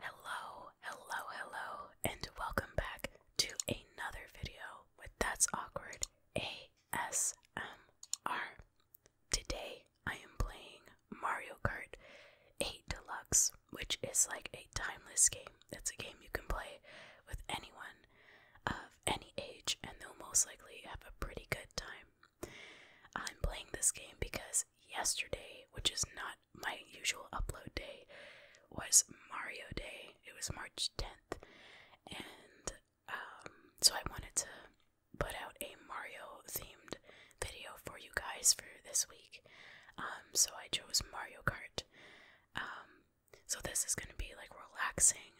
Hello, hello, hello, and welcome back to another video with That's Awkward ASMR. Today I am playing Mario Kart 8 Deluxe, which is like a timeless game. It's a game you can play with anyone. Uh, any age and they'll most likely have a pretty good time. I'm playing this game because yesterday, which is not my usual upload day, was Mario Day. It was March 10th, and um, so I wanted to put out a Mario themed video for you guys for this week. Um, so I chose Mario Kart. Um, so this is going to be like relaxing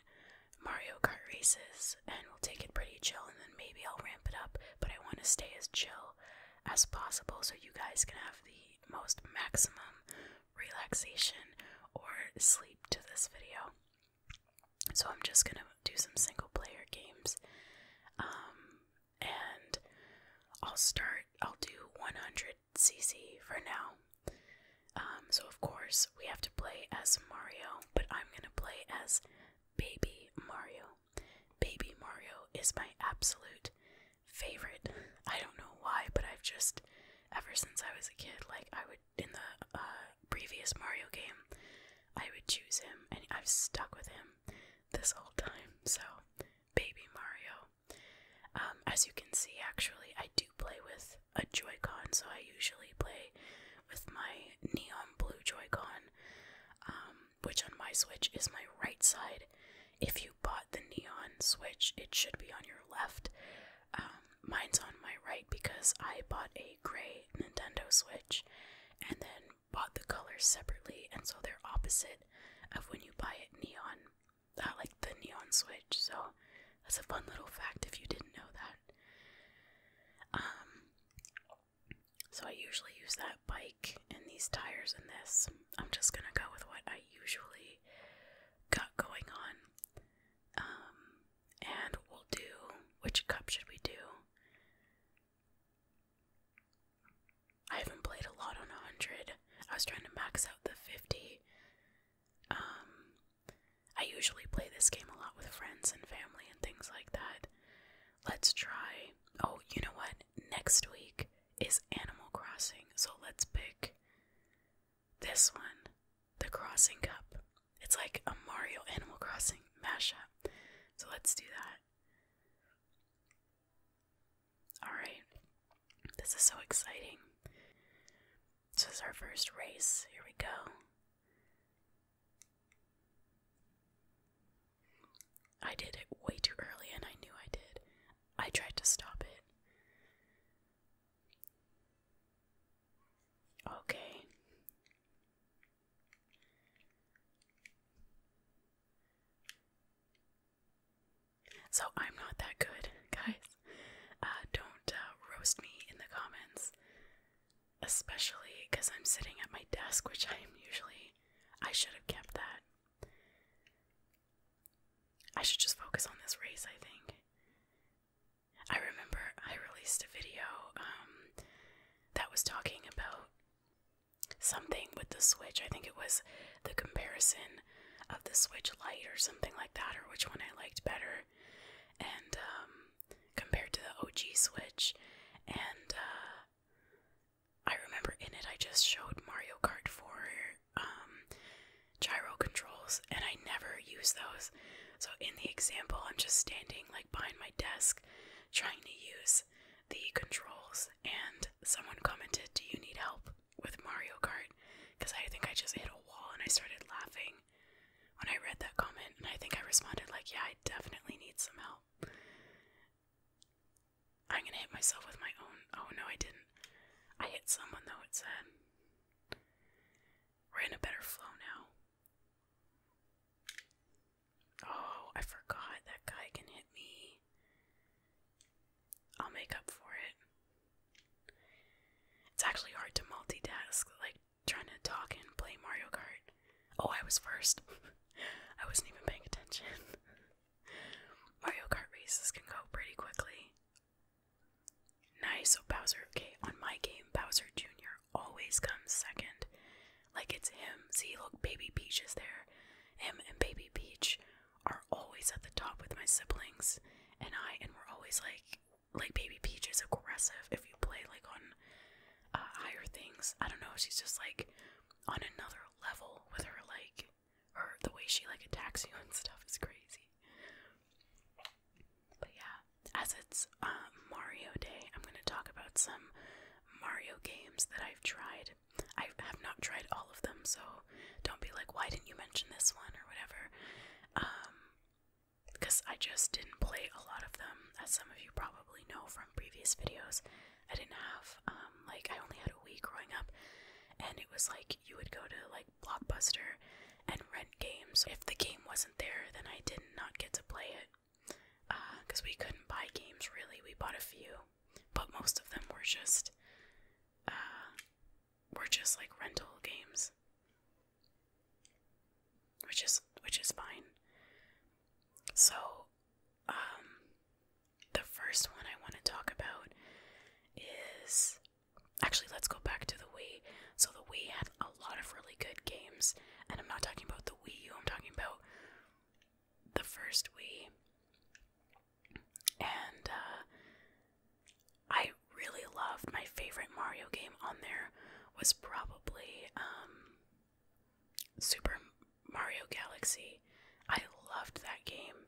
Mario Kart races and we'll take it pretty chill and then maybe I'll ramp it up, but I want to stay as chill as possible so you guys can have the most maximum relaxation or sleep to this video. So I'm just going to do some single player games. Um, and I'll start I'll do 100 cc for now um, so, of course, we have to play as Mario, but I'm gonna play as Baby Mario. Baby Mario is my absolute favorite. I don't know why, but I've just, ever since I was a kid, like I would, in the uh, previous Mario game, I would choose him, and I've stuck with him this whole time. So, Baby Mario. Um, as you can see, actually, I do play with a Joy-Con, so I usually play with my neon blue Joy-Con, um, which on my Switch is my right side. If you bought the neon Switch, it should be on your left. Um, mine's on my right because I bought a gray Nintendo Switch and then bought the colors separately, and so they're opposite of when you buy it neon uh, like the neon switch. So that's a fun little fact if you didn't know that. Um, so I usually use that bike and these tires and this. I'm just gonna go with what I usually got going on. Um, and we'll do which cup should we do? I haven't played a lot on 100. I was trying to max out the 50, um, I usually play this game a lot with friends and family and things like that. Let's try. Oh, you know what? Next week is Animal Crossing, so let's pick this one the Crossing Cup. It's like a Mario Animal Crossing mashup. So let's do that. Alright. This is so exciting. This is our first race. Here we go. I did it way too early and I knew I did. I tried to stop it. Okay. So I'm not that good, guys. Uh, don't uh, roast me in the comments, especially because I'm sitting at my desk, which I'm usually. I should have kept that. I should just focus on this race, I think. I remember I released a video um, that was talking about something with the Switch. I think it was the comparison of the Switch Lite or something like that, or which one I liked better, and um, compared to the OG Switch. And uh, I remember in it, I just showed Mario Kart for um, gyro controls, and I never use those. So in the example, I'm just standing like behind my desk trying to use the controls, and someone commented, Do you need help? with Mario Kart because I think I just hit a wall and I started laughing when I read that comment and I think I responded like, yeah, I definitely need some help. I'm gonna hit myself with my own. Oh no, I didn't. I hit someone though, it said. We're in a better flow now. Oh, I forgot that guy can hit me. I'll make up for it. It's actually hard to multitask, like trying to talk and play Mario Kart. Oh, I was first. I wasn't even paying attention. Mario Kart races can go pretty quickly. Nice, so Bowser, okay, on my game, Bowser Jr. always comes second. Like it's him. See, look, Baby Peach is there. Him and Baby Peach are always at the top with my siblings and I, and we're always like, like baby Peach is aggressive if you play like on uh, higher things. I don't know. She's just like on another level with her like her the way she like attacks you and stuff is crazy. But yeah, as it's um, Mario Day, I'm gonna talk about some Mario games that I've tried. I have not tried all of them, so don't be like, why didn't you mention this one or whatever? because um, I just didn't play a lot of them, as some of you probably know from previous videos. I didn't have, um, like, I only had a week growing up, and it was like you would go to like Blockbuster and rent games. If the game wasn't there, then I did not get to play it because uh, we couldn't buy games really. We bought a few, but most of them were just uh, we're just like rental games. Which is which is fine. So um the first one I want to talk about is actually let's go back to the Wii. So the Wii had a lot of really good games, and I'm not talking about the Wii U, I'm talking about the first Wii and uh, I really loved my favorite Mario game on there was probably um, Super Mario Galaxy. I loved that game.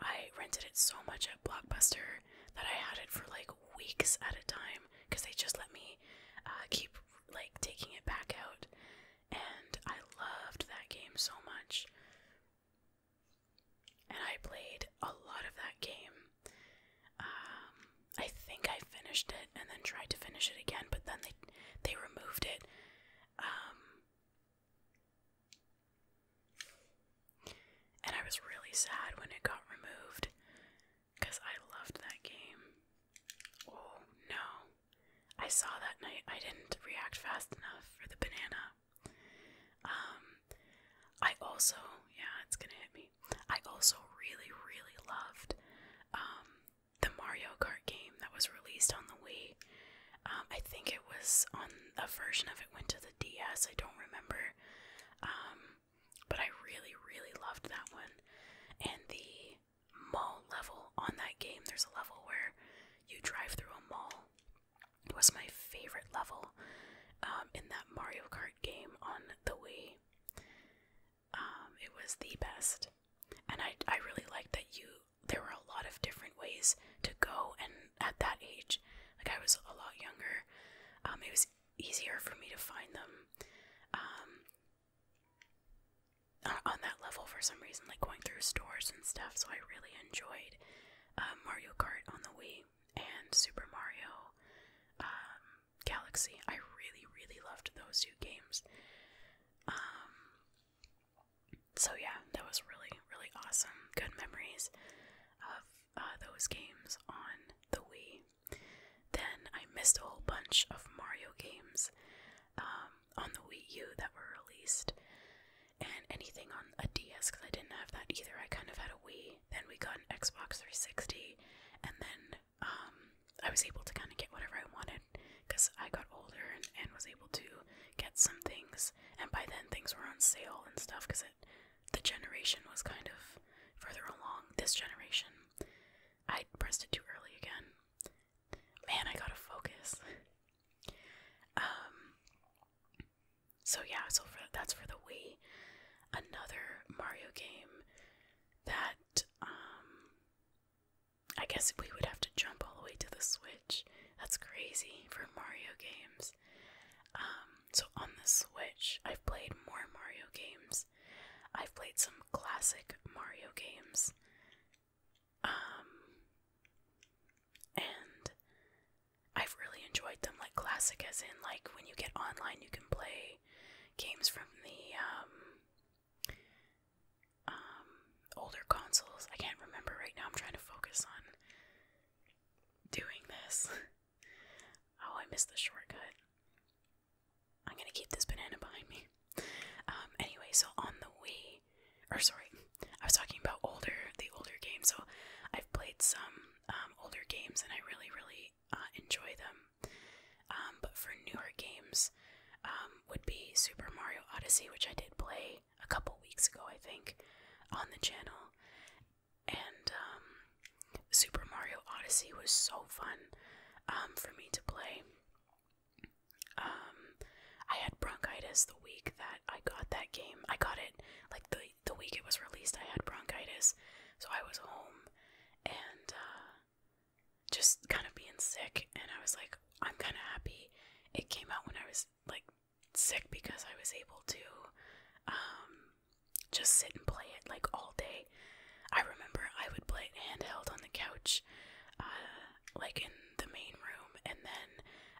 I rented it so much at Blockbuster that I had it for like weeks at a time because they just let me uh, keep like taking it back out, and I loved that game so much and I played a lot of that game. Um, I think I finished it and then tried to finish it again, but then they they removed it. Um, and I was really sad when it got removed because I loved that game. Oh no! I saw that night. I didn't react fast enough for the banana. Um, I also, yeah, it's gonna hit me. I also really, really loved um, the Mario Kart game that was released on the Wii. Um, I think it was on a version of it went to the DS. I don't remember, um, but I really, really loved that one. And the mall level on that game, there's a level where you drive through a mall it was my favorite level um, in that Mario Kart game on the way, Um, it was the best, and I I really liked that you. There were a lot of different ways to go, and at that age, like I was a lot younger, um, it was easier for me to find them. Um, on that level for some reason like going through stores and stuff so i really enjoyed um, Mario Kart on the Wii and Super Mario um, Galaxy. I really, really loved those two games. Um, so yeah, that was really, really awesome. Good memories of uh, those games on the Wii. Then I missed a whole bunch of Mario games on the Wii U that were released and anything on a DS because I didn't have that either. I kind of had a Wii, then we got an Xbox 360, and then um, I was able to kind of get whatever I wanted because I got older and, and was able to get some things. And by then, things were on sale and stuff because it the generation was kind of further along. This generation, I pressed it too early again. Man, I gotta focus. Um, so yeah, so for, that's for the Wii. Another Mario game that um, I guess we would have to jump all the way to the Switch. That's crazy for Mario games. Um, so on the Switch, I've played more Mario games. I've played some classic Mario games. Um, and I've really enjoyed them, like classic, as in like when you get online, you can play games from the um, um older consoles. I can't remember right now. I'm trying to focus on doing this. oh, I missed the shortcut. I'm gonna keep this banana behind me. Um, anyway, so on the Wii, or sorry, I was talking about older, the older games. So I've played some um, older games and I really, really uh, enjoy them. Um, but for newer games, um, would be Super Mario Odyssey, which I did play a couple weeks ago, I think, on the channel. And Super Mario Odyssey was so fun for me to play. I had bronchitis the week that I got that game. I got it like the the week it was released. I had bronchitis, so I was home and uh, just kind of being sick. And I was like, I'm kind of happy it came out when I was like sick because I was able to um, just sit and play it like all day. I remember I would play handheld on the couch. Uh, like in the main room, and then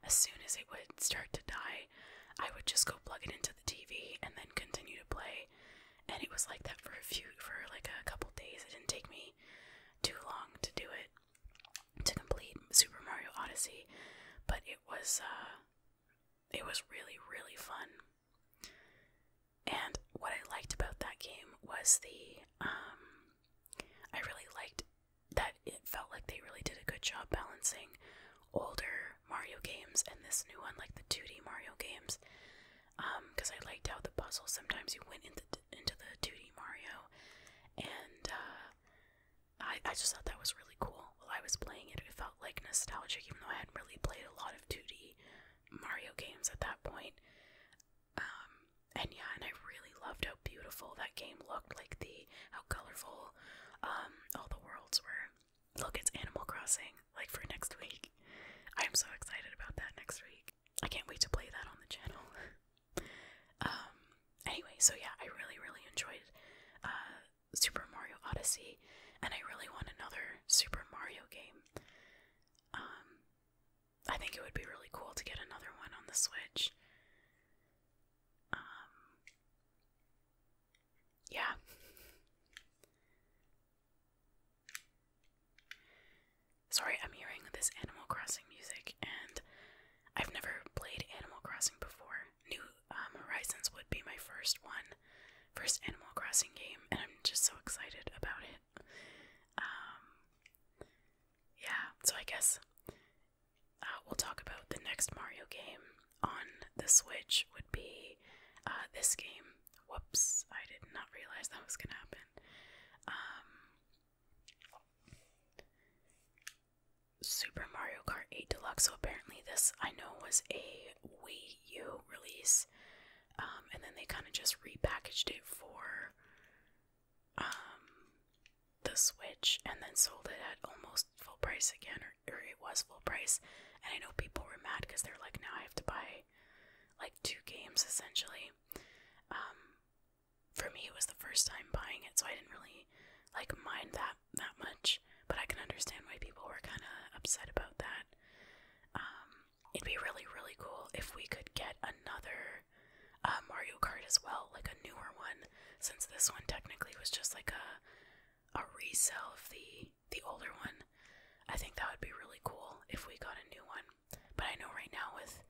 as soon as it would start to die, I would just go plug it into the TV and then continue to play. And it was like that for a few, for like a couple days. It didn't take me too long to do it, to complete Super Mario Odyssey, but it was, uh, it was really, really fun. And what I liked about that game was the, um, I really liked that it felt like they really did a good job balancing older Mario games and this new one, like the 2D Mario games. Because um, I liked how the puzzles sometimes you went into into the 2D Mario, and uh, I I just thought that was really cool. While I was playing it, it felt like nostalgic, even though I hadn't really played a lot of 2D Mario games at that point. Um, and yeah, and I really loved how beautiful that game looked, like the how colorful um all the worlds were. Look, it's Animal Crossing, like for next week. I am so excited about that next week. I can't wait to play that on the channel. um anyway, so yeah, I really, really enjoyed uh Super Mario Odyssey and I really want another Super Mario game. Um I think it would be really cool to get another one on the Switch. Um, yeah. Sorry, I'm hearing this Animal Crossing music, and I've never played Animal Crossing before. New um, Horizons would be my first one, first Animal Crossing game, and I'm just so excited about it. Um, yeah, so I guess uh, we'll talk about the next Mario game on the Switch would be uh, this game. Whoops, I did not realize that was gonna happen. Um, Super Mario Kart 8 Deluxe. So apparently, this I know was a Wii U release, um, and then they kind of just repackaged it for um, the Switch and then sold it at almost full price again, or, or it was full price. And I know people were mad because they're like, now I have to buy like two games essentially. Um, for me, it was the first time buying it, so I didn't really like mind that that much. But I can understand why people were kind of upset about that. Um, it'd be really, really cool if we could get another uh, Mario Kart as well, like a newer one, since this one technically was just like a a resell of the the older one. I think that would be really cool if we got a new one. But I know right now with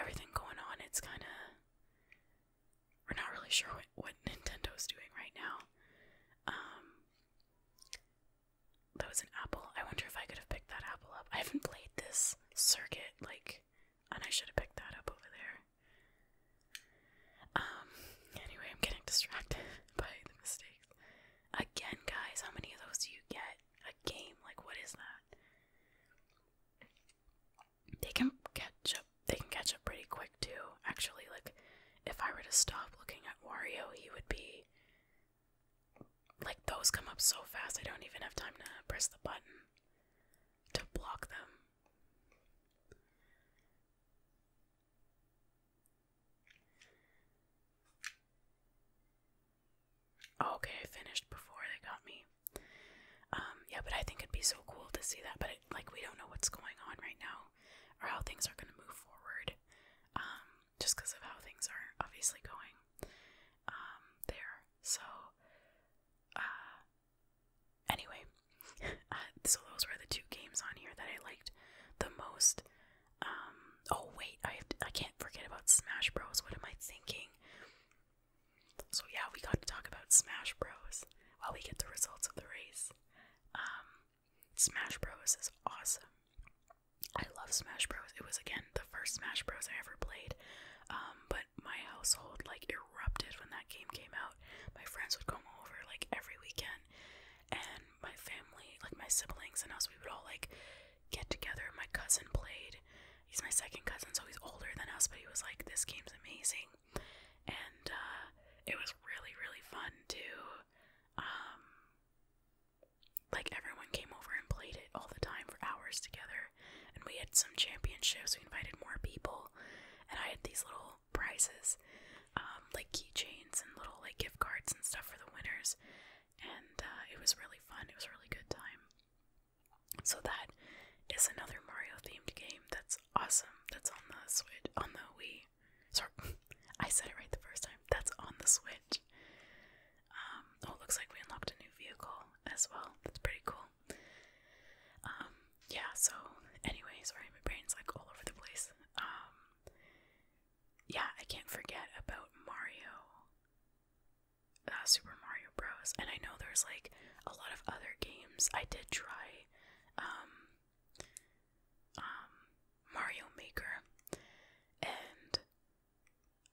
everything going on, it's kind of we're not really sure what, what Nintendo's doing right now. Um, that was an apple. I wonder if I could have picked that apple up. I haven't played this circuit like and I should have picked that up over there. Um, anyway, I'm getting distracted by the mistakes. Again, guys, how many of those do you get a game? Like, what is that? They can catch up. They can catch up pretty quick too. Actually, like, if I were to stop looking at Wario, he would be like those come up so fast. I don't even have time to press the button to block them. Oh, okay, I finished before they got me. Um, yeah, but I think it'd be so cool to see that. But like, we don't know what's going on right now, or how things are going to move forward, um, just because of how things are obviously going um, there. So, uh, anyway, uh, so those were the two games on here that I liked the most. Um, oh wait, I I can't forget about Smash Bros. What am I thinking? So yeah, we got to talk about Smash Bros. While we get the results of the race. Um, Smash Bros. is awesome. I love Smash Bros. It was again the first Smash Bros. I ever played. Um, but my household like erupted when that game came out. My friends would come over like every weekend, and my family, like my siblings and us, we would all like get together. My cousin played. He's my second cousin, so he's older than us, but he was like, "This game's amazing," and uh, it was really, really fun too. Um, like everyone came over and played it all the time for hours together and we had some championships. We invited more people, and I had these little prizes, um, like keychains and little like gift cards and stuff for the winners. And uh, it was really fun. It was really good time. So that is another Mario themed game. That's awesome. That's on the Switch, on the Wii. Sorry, I said it right the first time. That's on the Switch. Um, oh, it looks like we unlocked a new vehicle as well. That's pretty cool. Um, yeah, so anyway, sorry, my brain's like all over the place. Um, yeah, I can't forget about Mario, uh, Super Mario Bros. And I know there's like a lot of other games. I did try, um, um, Mario Maker, and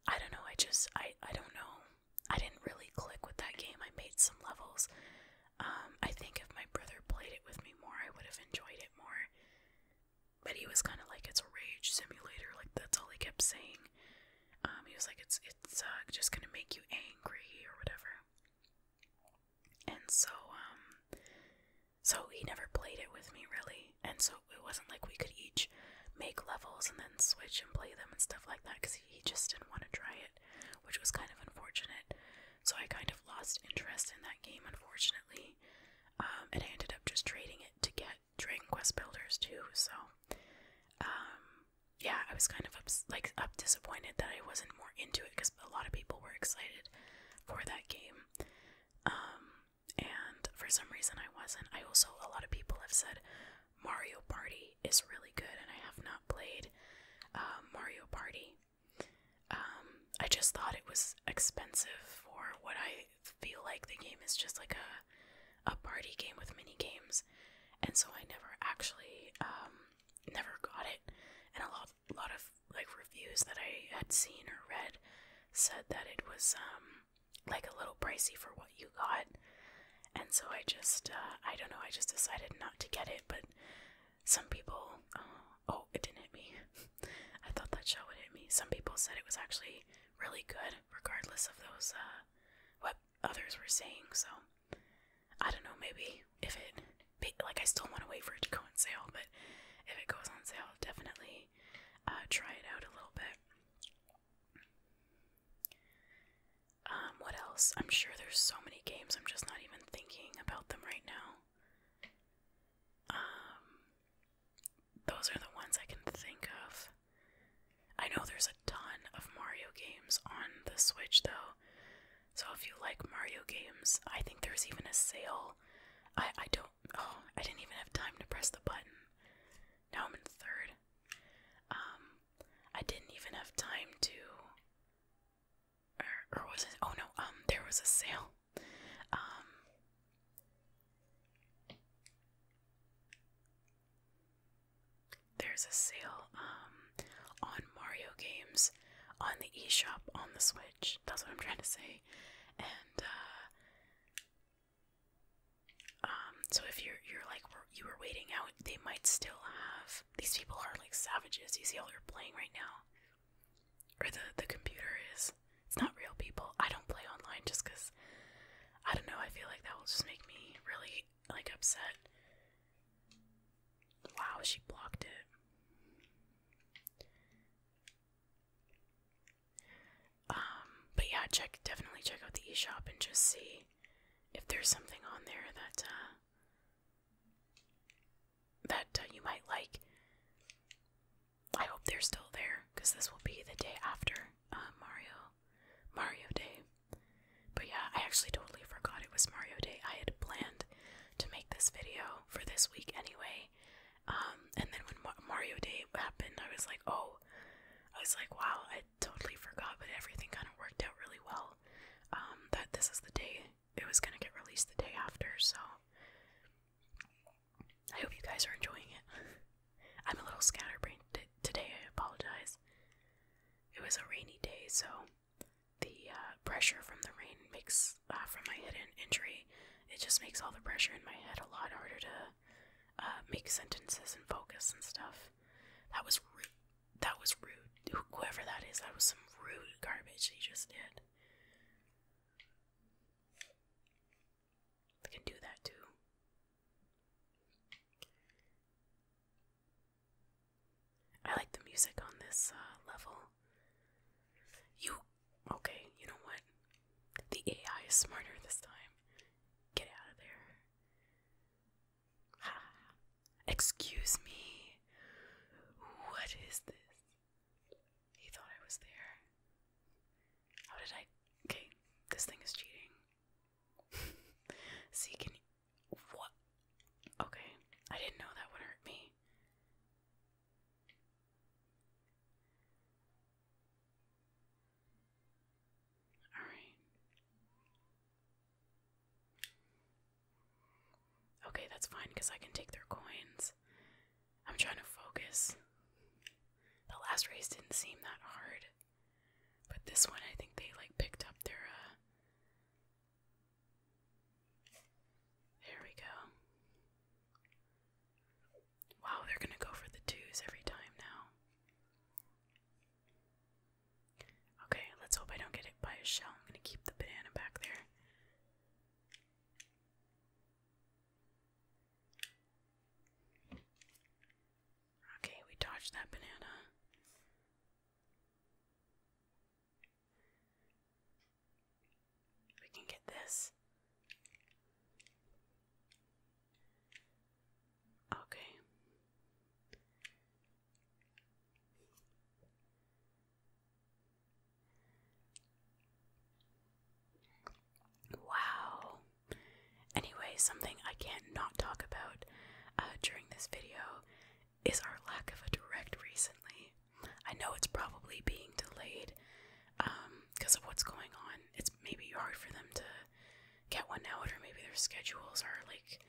I don't know, I just I I don't know. I didn't really click with that game. I made some levels. Um I think if my brother played it with me more, I would have enjoyed it more. But he was kind of like it's a rage simulator, like that's all he kept saying. Um he was like it's it's just going to make you angry or whatever. And so um so he never played it with me really. And so it wasn't like we could each make levels and then switch and play them and stuff like that because he just didn't want to try it, which was kind of unfortunate. So I kind of lost interest in that game, unfortunately. Um, and I ended up just trading it to get Dragon Quest Builders too. So, um, yeah, I was kind of like up disappointed that I wasn't more into it because a lot of people were excited for that game. Um, and for some reason I wasn't. I also, a lot of people have said Mario Party is really good, and I have not played um, Mario Party. Um, I just thought it was expensive for what I feel like the game is just like a, a party game with mini games, and so I never actually um, never got it. And a lot, a lot of like reviews that I had seen or read said that it was um, like a little pricey for what you got. And so I just, uh, I don't know, I just decided not to get it. But some people, uh, oh, it didn't hit me. I thought that shell would hit me. Some people said it was actually really good, regardless of those, uh, what others were saying. So I don't know, maybe if it, like, I still want to wait for it to go on sale, but if it goes on sale, definitely uh, try it out a little bit. Um, what else? I'm sure there's so many games, I'm just not even thinking about them right now. Um, those are the ones I can think of. I know there's a ton of Mario games on the Switch, though. So if you like Mario games, I think there's even a sale. I, I don't Oh, I didn't even have time to press the button. Now I'm in third. Um, I didn't even have time to. Er, or, was it? Oh no. Um, there was a sale. Um. There's a sale um, on Mario games on the e-shop on the Switch. That's what I'm trying to say. And uh, um, so if you're you're like you were waiting out, they might still have these people are like savages. You see all they're playing right now, or the the computer is. It's not real people. I don't play online just because I don't know. I feel like that will just make me really like upset. Wow, she blocked it. Um, but yeah, check definitely check out the eShop and just see if there's something on there that uh, that uh, you might like. I hope they're still there because this will be the day after uh, Mario Mario Day. But yeah, I actually totally forgot it was Mario Day. I had planned to make this video for this week anyway. Um, and then when Mario Day happened, I was like, oh, I was like, wow, I totally forgot, but everything kind of worked out really well. Um, that this is the day it was gonna get released the day after, so I hope you guys are enjoying it. I'm a little scatterbrained today, I apologize. It was a rainy day, so the uh, pressure from the rain makes, uh, from my head injury, it just makes all the pressure in my head a lot harder to uh, make sentences and focus and stuff. That was rude. That was rude. Whoever that is, that was some rude garbage he just did. can do that too. I like the music on this uh, level. You Okay, you know what? The AI is smarter this time. Get out of there. Ha. Excuse me. What is this? He thought I was there. How did I. Okay, this thing is cheating. See, can you. What? Okay, I didn't know that would hurt me. All right. Okay, that's fine because I can take their coins. I'm trying to focus. The last race didn't seem that hard. But this one, I think they like picked up their, uh, There we go. Wow, they're gonna go for the twos every time now. Okay, let's hope I don't get hit by a shell. I'm gonna keep the banana back there. Okay, we dodged that banana. We can get this. Okay. Wow. Anyway, something I can't not talk about uh, during this video is our lack of a direct recently. I know it's probably being delayed because um, of what's going on. It's it's hard for them to get one out, or maybe their schedules are like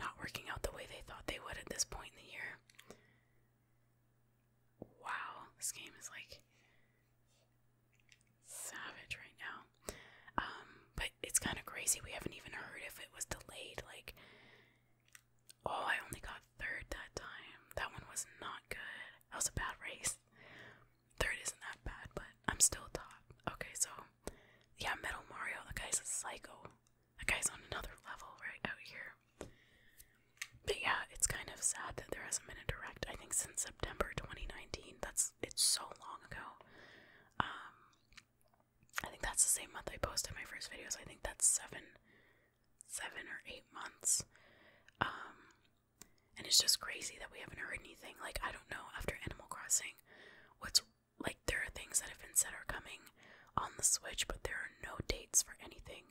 not working out the way they thought they would at this point in the year. Wow, this game is like savage right now. Um, but it's kind of crazy. We haven't even heard if it was delayed. Like, oh, I only got third that time. That one was not good. That was a bad race. Third isn't that bad, but I'm still top. Okay, so yeah, Metal Mario, the guy's a psycho. The guy's on another level right out here. But yeah, it's kind of sad that there hasn't been a direct. I think since September 2019. That's it's so long ago. Um, I think that's the same month I posted my first videos. I think that's seven, seven or eight months. Um, and it's just crazy that we haven't heard anything. Like, I don't know, after Animal Crossing, what's like, there are things that have been said are coming on the Switch, but there are no dates for anything.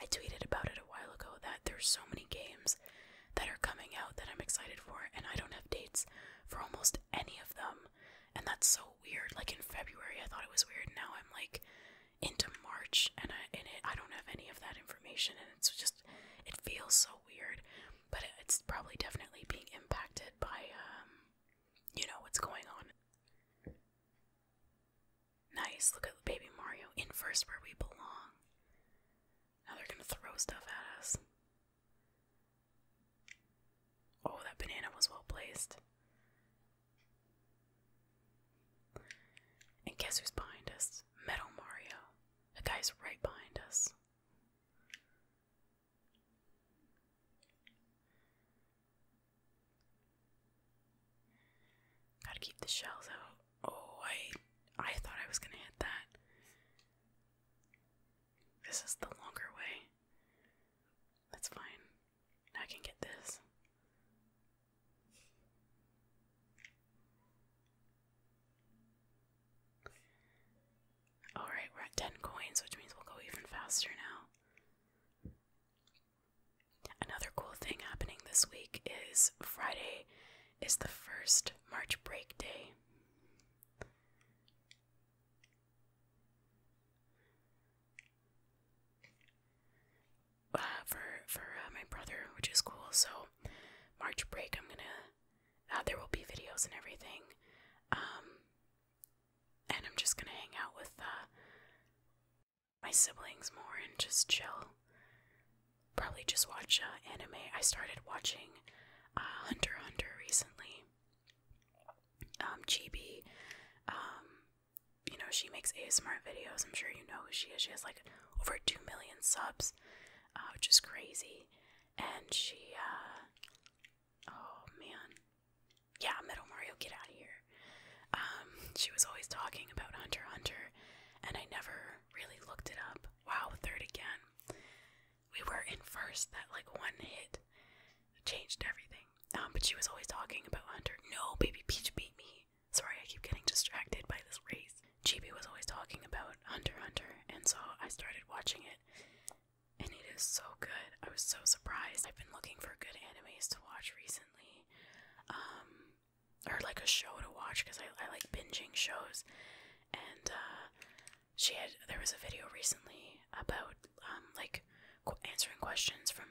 I tweeted about it a while ago that there's so many games that are coming out that I'm excited for, and I don't have dates for almost any of them. And that's so weird. Like, in February, I thought it was weird. Now I'm like, into March, and I and it, I don't have any of that information, and it's just it feels so weird. But it's probably definitely being impacted by um, you know what's going on. Nice, look at the baby Mario in first where we belong. Now they're gonna throw stuff at us. Oh, that banana was well placed. And guess who's behind us? Metal Mario. The guy's right behind us. Gotta keep the shells out. Oh, I I thought I was gonna hit that. This is the longer way. That's fine. I can get this. Alright, we're at 10 coins, which means we'll go even faster now. Another cool thing happening this week is Friday is the first March break day uh, for for uh, my brother, which is cool. So March break, I'm gonna. Uh, there will be videos and everything, um, and I'm just gonna hang out with uh, my siblings more and just chill. Probably just watch uh, anime. I started watching uh, Hunter Hunter recently. Um, Chibi, um, you know, she makes ASMR videos. I'm sure you know who she is. She has like over 2 million subs, uh, which is crazy. And she, uh, oh man. Yeah, Metal Mario, get out of here. Um, she was always talking about Hunter Hunter, and I never really looked it up. Wow, third again. We were in first, that like one hit changed everything. Um, but she was always talking about Hunter. No, Baby Peach beat me. Sorry, I keep getting distracted by this race. Chibi was always talking about Hunter Hunter, and so I started watching it. And it is so good. I was so surprised. I've been looking for good animes to watch recently, um, or like a show to watch because I, I like binging shows. And uh, she had there was a video recently about um, like answering questions from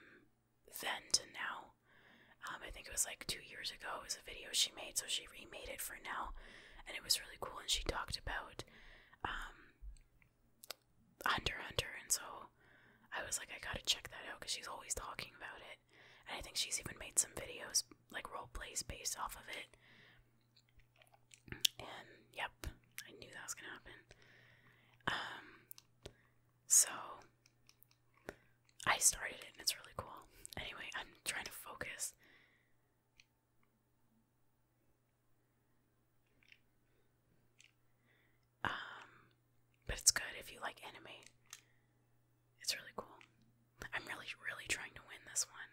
then to now. Um, I think it was like two years ago. It was a video she made, so she remade it for now, and it was really cool. And she talked about um, Hunter Hunter, and so I was like, I gotta check that out because she's always talking about it, and I think she's even made some videos like role plays based off of it. And yep, I knew that was gonna happen. Um, so I started it and it's really cool. Anyway, I'm trying to focus. Um, but it's good if you like anime. It's really cool. I'm really, really trying to win this one.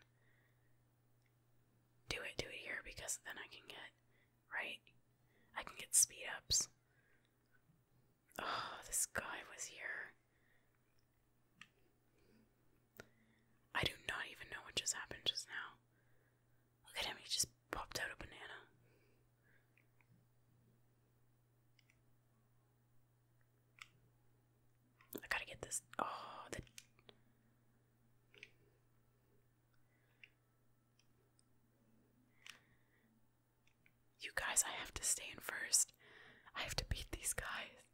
Do it, do it here because then I can get, right? I can get speed ups. Oh, this guy was here. I do not even know what just happened just now. Look at him, he just popped out a banana. I gotta get this. Oh, the. You guys, I have to stay in first. I have to beat these guys.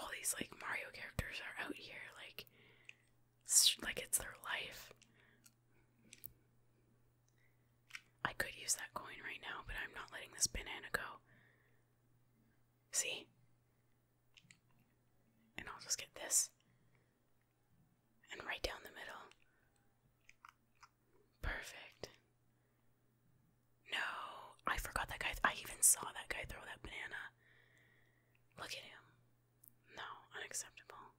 All these like Mario characters are out here, like, like it's their life. I could use that coin right now, but I'm not letting this banana go. See? And I'll just get this and right down the middle. Perfect. No, I forgot that guy. I even saw that guy throw that banana. Look at him. No, unacceptable.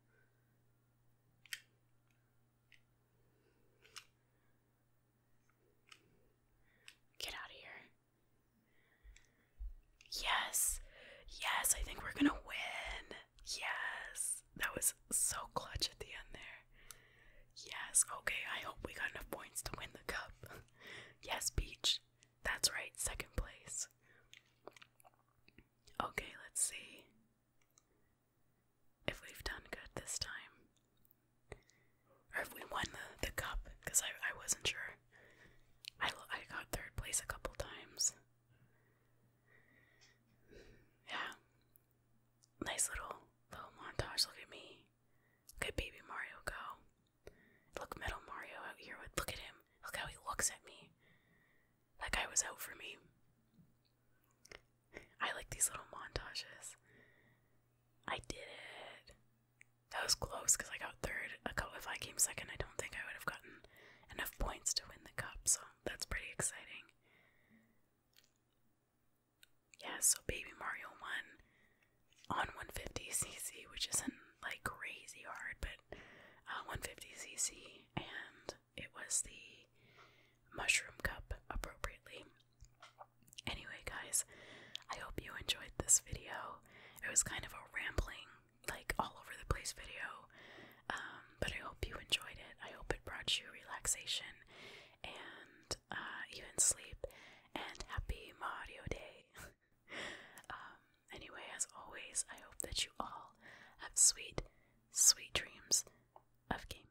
Get out of here. Yes. Yes, I think we're going to win. Yes, that was so clutch at the end there. Yes, okay, I hope we got enough points to win the cup. yes, Peach. That's right, second place. Okay, let's see if we've done good this time. Or if we won the, the cup, because I, I wasn't sure. I, I got third place a couple times. Yeah. Nice little little montage. Look at me. Look at baby Mario go. Look Metal Mario out here look at him. Look how he looks at me. That guy was out for me. I like these little montages. I did it. That was close because I got third. A If I came second, I don't think I would have gotten enough points to win the cup. So that's pretty exciting. Yeah, so Baby Mario won on 150cc, which isn't like crazy hard, but 150cc, uh, and it was the mushroom cup appropriately. Anyway, guys, I hope you enjoyed this video. It was kind of a rambling like all over the place video. Um, but I hope you enjoyed it. I hope it brought you relaxation and uh, even sleep. And happy Mario Day. Um, anyway, as always, I hope that you all have sweet, sweet dreams of gaming.